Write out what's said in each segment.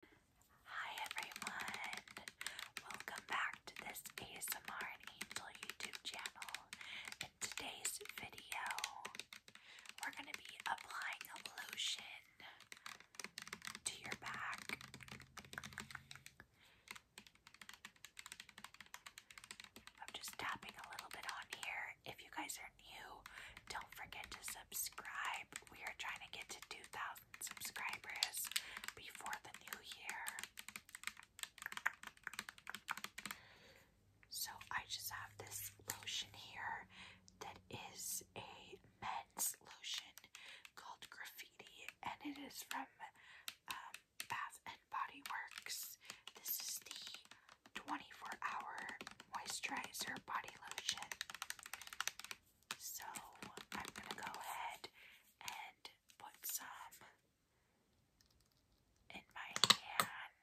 Hi everyone! Welcome back to this ASMR and Angel YouTube channel. In today's video, we're going to be applying a lotion to your back. I'm just tapping a little bit on here. If you guys are new, don't forget to subscribe. We are trying to get to 2,000 subscribers before the new year. So I just have this lotion here that is a men's lotion called Graffiti, and it is from um, Bath and Body Works. This is the 24 hour moisturizer body lotion. So I'm going to go ahead and put some in my hand.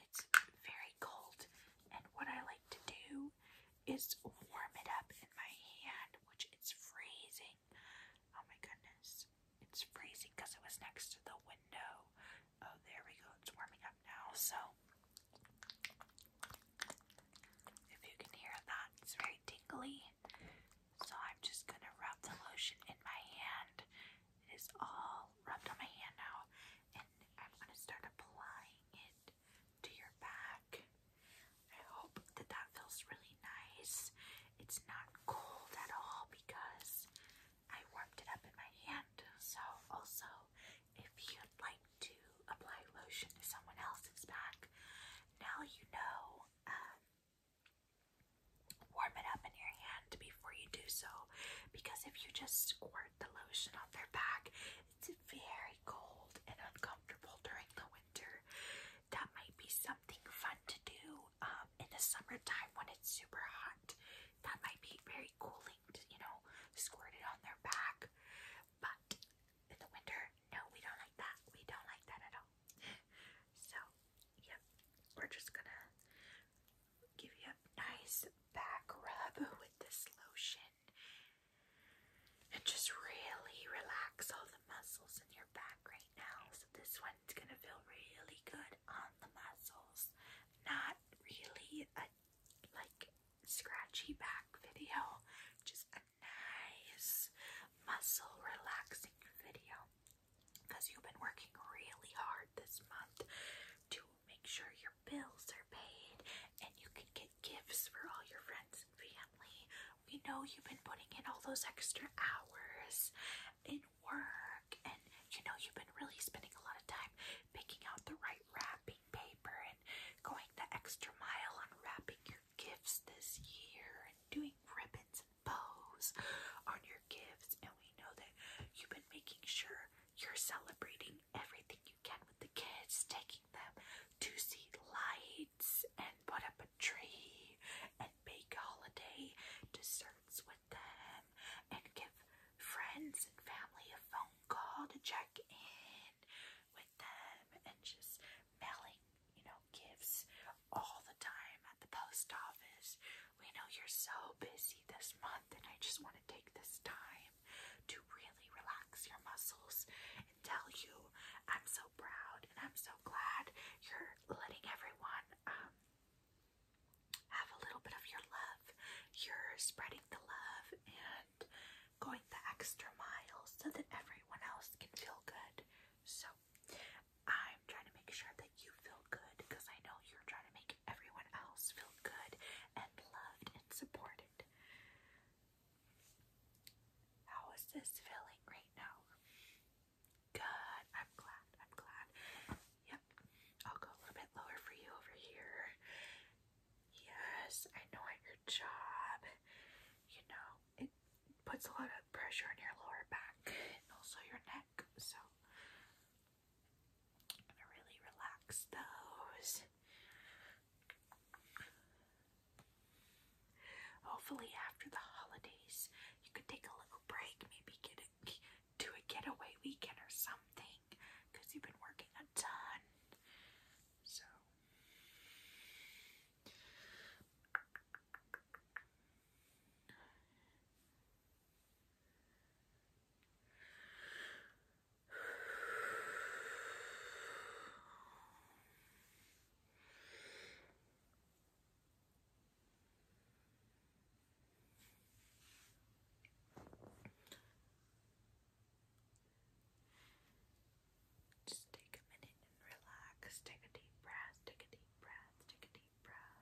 It's very cold, and what I like to do is warm it up in my hand, which is freezing. Oh my goodness, it's freezing because it was next to the window. Oh, there we go, it's warming up now. So if you can hear that, it's very tingly. So I'm just gonna rub the lotion in my hand. It is all rubbed on my hand now, and I'm gonna start applying it to your back. I hope that that feels really nice. It's not cold at all because I warmed it up in my hand. So, also, if you'd like to apply lotion to someone else's back. Now you know. Um, warm it up in your hand before you do so, because if you just squirt the lotion on their back, it's very cold and uncomfortable during the winter. That might be something fun to do um, in the summertime when it's super hot. That might be very cooling to, you know, squirt it on their back. But in the winter, no, we don't like that. We don't like that at all. so, yep, we're just gonna give you a nice back rub with this lotion and just really relax all the muscles in your back right now. So, this one's gonna feel really good on the muscles, not really a like scratchy back video, just a nice muscle relaxing video because you've been working really hard this month to make sure your bills are paid and you can get gifts for all your friends and family. We know you've been putting in all those extra hours in work and you know you've been really spending a lot of time picking out the right wrap paper and going the extra mile on wrapping your gifts this year and doing ribbons and bows on your gifts. And we know that you've been making sure you're celebrating everything you can with the kids, taking them to see lights and put up a tree and bake holiday desserts with them and give friends and family a phone call to check in with them and just mailing, you know, gifts all the time at the post office. We know you're so busy this month, and I just want to take this time to really relax your muscles and tell you I'm so proud and I'm so glad you're letting everyone um, have a little bit of your love. You're spreading the love and going the extra mile so that everyone else can feel good. So I'm trying to make sure that you feel good because I know you're trying to make everyone else feel good and loved and supported. How is this feeling right now? Good. I'm glad. I'm glad. Yep. I'll go a little bit lower for you over here yes, I know your job, you know, it puts a lot of pressure on your lower back and also your neck. So I'm gonna really relax those. Hopefully, after the holidays, you could take a little break, maybe get do a getaway weekend or something because you've been working a ton. So just take a minute relax. Take a deep breath, take a deep breath, take a deep breath.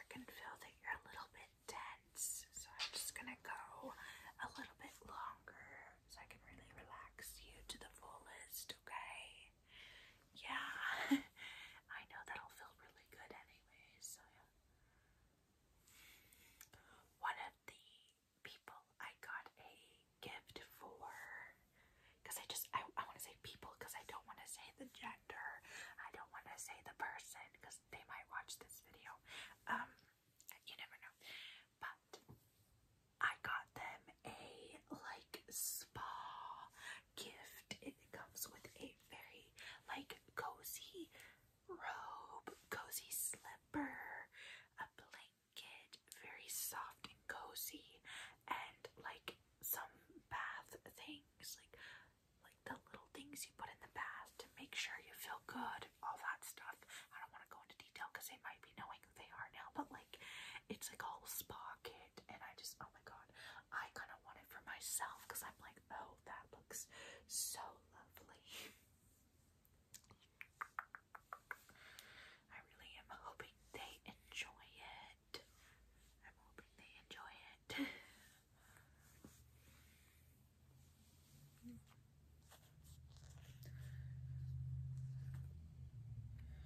I can feel that you're a little bit tense, so I'm just going to go a little bit longer so I can really relax you to the fullest, okay? Yeah, I know that'll feel really good anyway, so yeah. the people I got a gift for, because I just, I, I want to say people because I don't want to say the gender, I don't want to say the person because they might watch this video. Um, you never know. But I got them a like spa gift. It comes with a very like cozy robe, cozy slipper, a blanket, very soft and cozy, and like some bath things, like like the little things you put in the bath to make sure you feel good, all that stuff. I don't want to go into detail because they might be knowing who they are now, but like it's like a whole spa kit and I just, oh my god, I kind of want it for myself because I'm like, oh, that looks so lovely. I really am hoping they enjoy it. I'm hoping they enjoy it.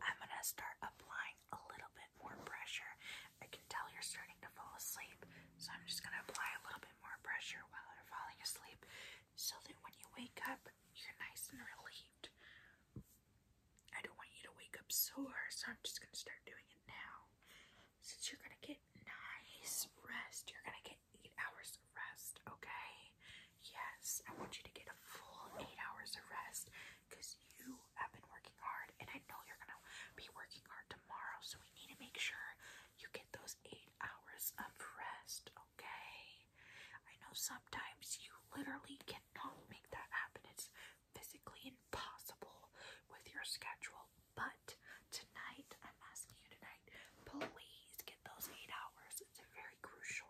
I'm going to start applying a little bit more pressure. I can tell you're starting to fall asleep, so I'm just going to apply a little bit more pressure while you're falling asleep so that when you wake up, you're nice and relieved. I don't want you to wake up sore, so I'm just going to start doing it now since you're gonna get nice rest, you're gonna get eight hours of rest, okay? Yes, I want you to get a full eight hours of rest because you have been working hard, and I know you're gonna be working hard tomorrow, so we need to make sure you get those eight hours of rest, okay? I know sometimes you literally cannot make that happen, it's physically impossible with your schedule. But tonight, I'm asking you tonight, please get those eight hours. It's very crucial.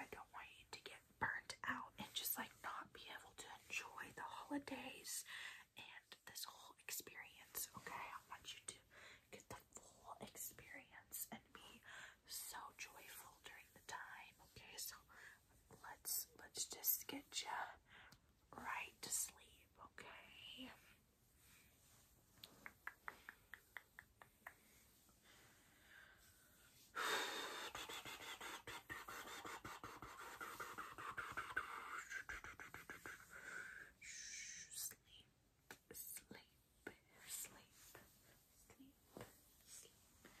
I don't want you to get burnt out and just like not be able to enjoy the holidays and this whole experience. Okay, I want you to get the full experience and be so joyful during the time. Okay, so let's let's just get you right to sleep, okay? sleep, sleep, sleep, sleep, sleep, sleep,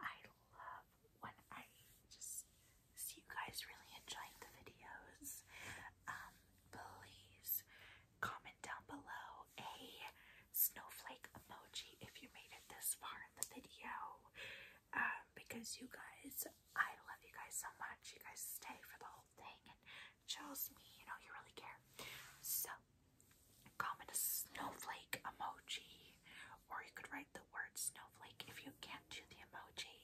I love when I just see you guys really enjoying the videos. Um, please comment down below a snowflake emoji if you made it this far in the video. Um, because you guys, I love you guys so much. You guys stay for the whole thing and chose me, you know, you really care. So comment a snowflake emoji, or you could write the word snowflake if you can't do the emoji.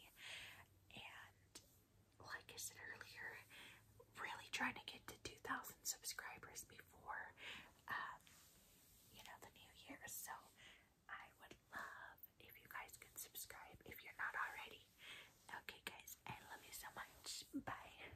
And like I said earlier, really trying to get to 2,000 subscribers before, um, you know, the new year. So I would love if you guys could subscribe if you're not already. Okay, guys, I love you so much. Bye.